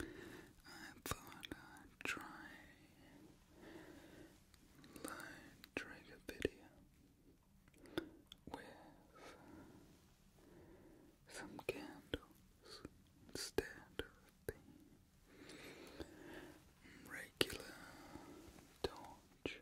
I thought I'd try live trigger video with some candles instead of the regular torch.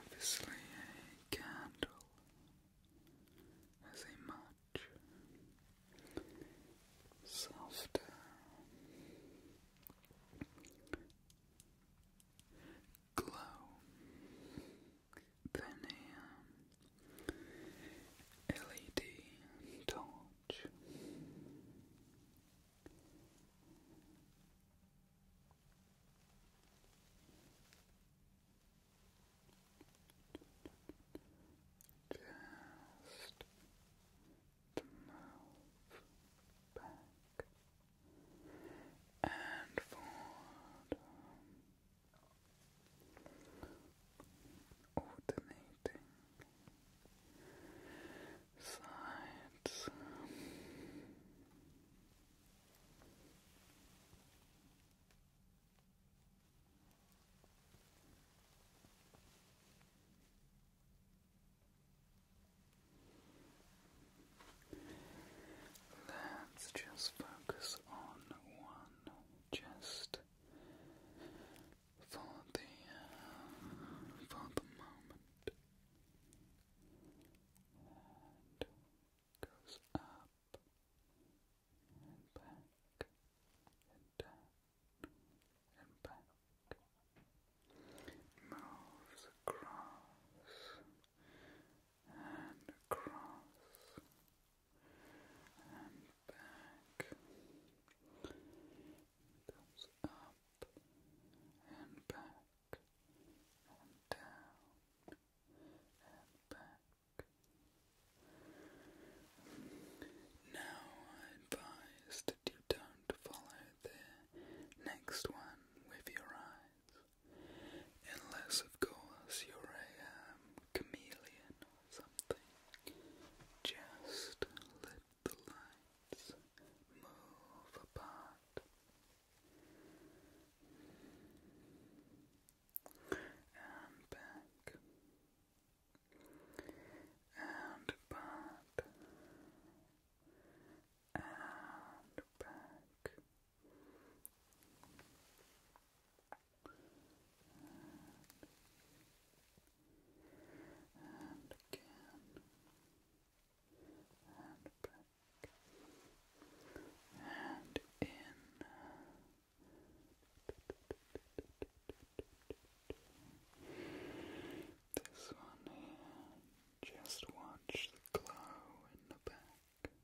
Obviously, a candle has a much softer glow than a um, LED torch. Just the mouth back and forward, alternating Let's just focus on one just for the uh, for the moment and goes up and back and down and back. Moves across and across and back comes up and back and down and back. Now I advise that you don't follow the next one with your eyes, unless of course you're a um, chameleon or something. Just literally the lights move apart and back and apart and back and again, and back, and in. This one here, just watch the glow in the back,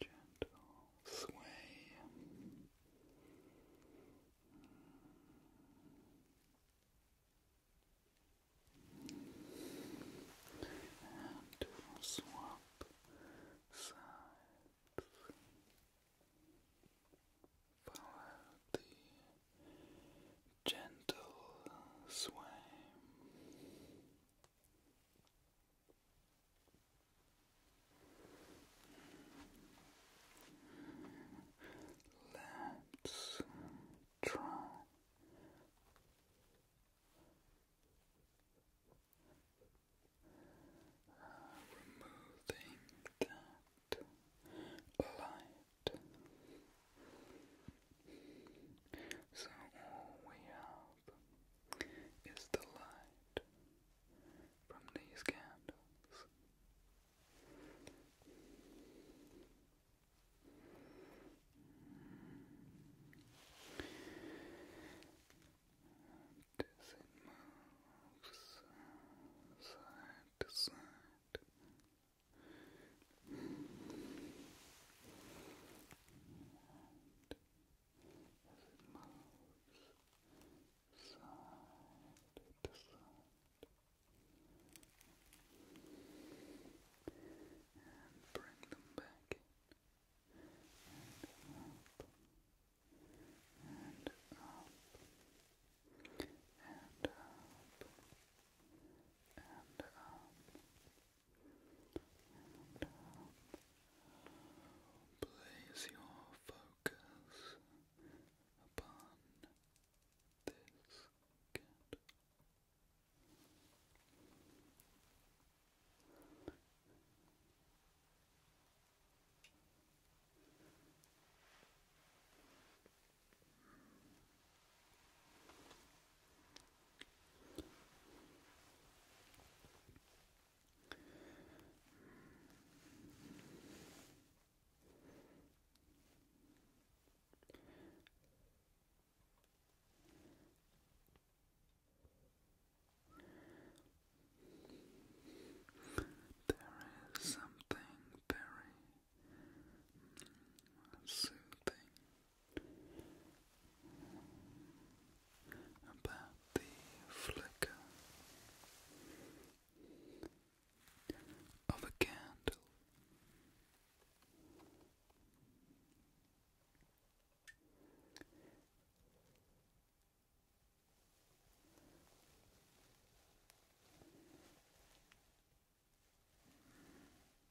gentle sway. And we swap sides. Follow the gentle sway. Let's try removing that light. So all we have is the light from these candles. And it moves side to side as it moves side to side. And bring them back in. And up. And up. And up. And up place your focus upon this cat. There is something very soothing about the flicker of a candle.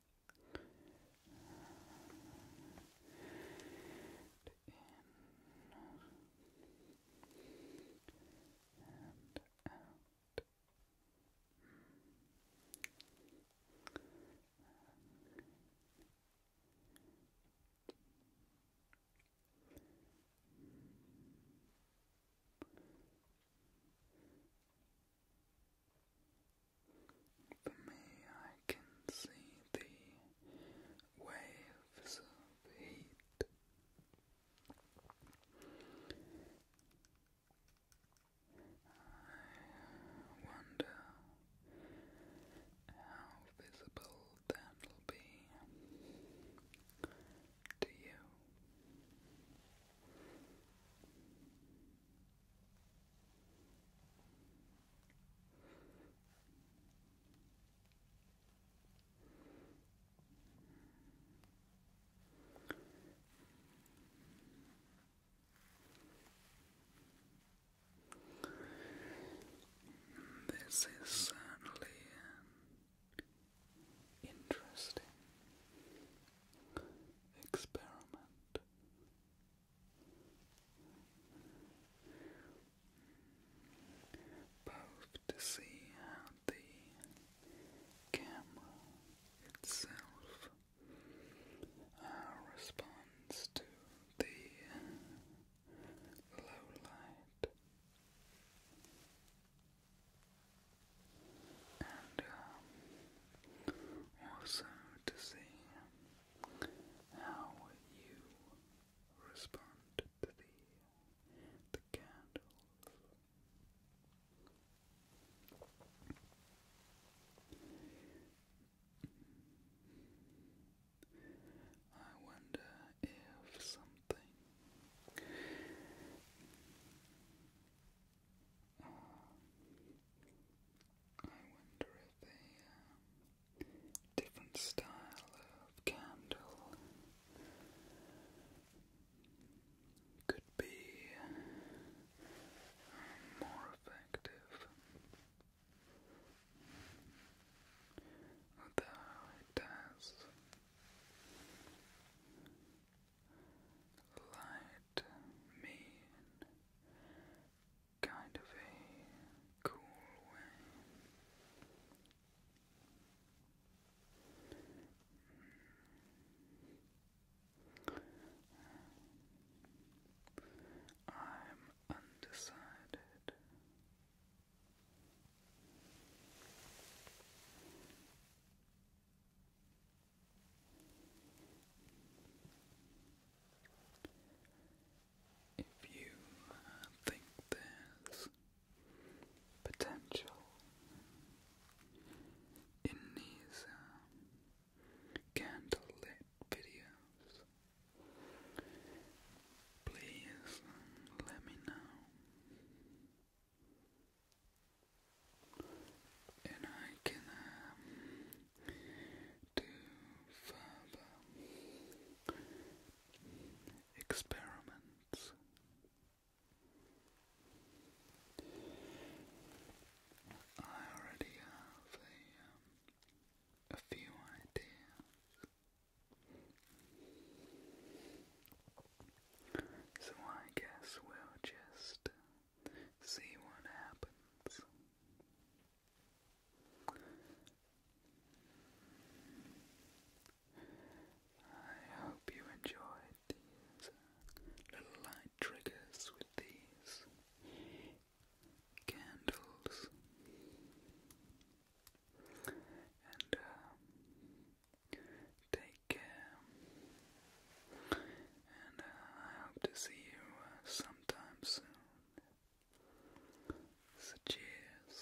and out. Mm. For me, I can see the waves of heat. I wonder how visible that'll be to you. This is certainly interesting experiment. Both to see how the camera itself uh, responds to the low light and um, also to see how you respond to the the candles. I wonder if something. Uh, I wonder if a uh, different style of candle could be uh, uh, more effective. Although does light, mean, kind of a cool way. Hmm. I'm undecided. If you uh, think there's potential in these uh, candlelit videos, Please um, let me know, and I can um, do further experiments. I already have a, um, a few ideas so I guess we'll just see what happens. I hope you enjoyed these uh, little light triggers with these candles and uh, take care. And uh, I hope to see you uh, sometime soon. So, cheers.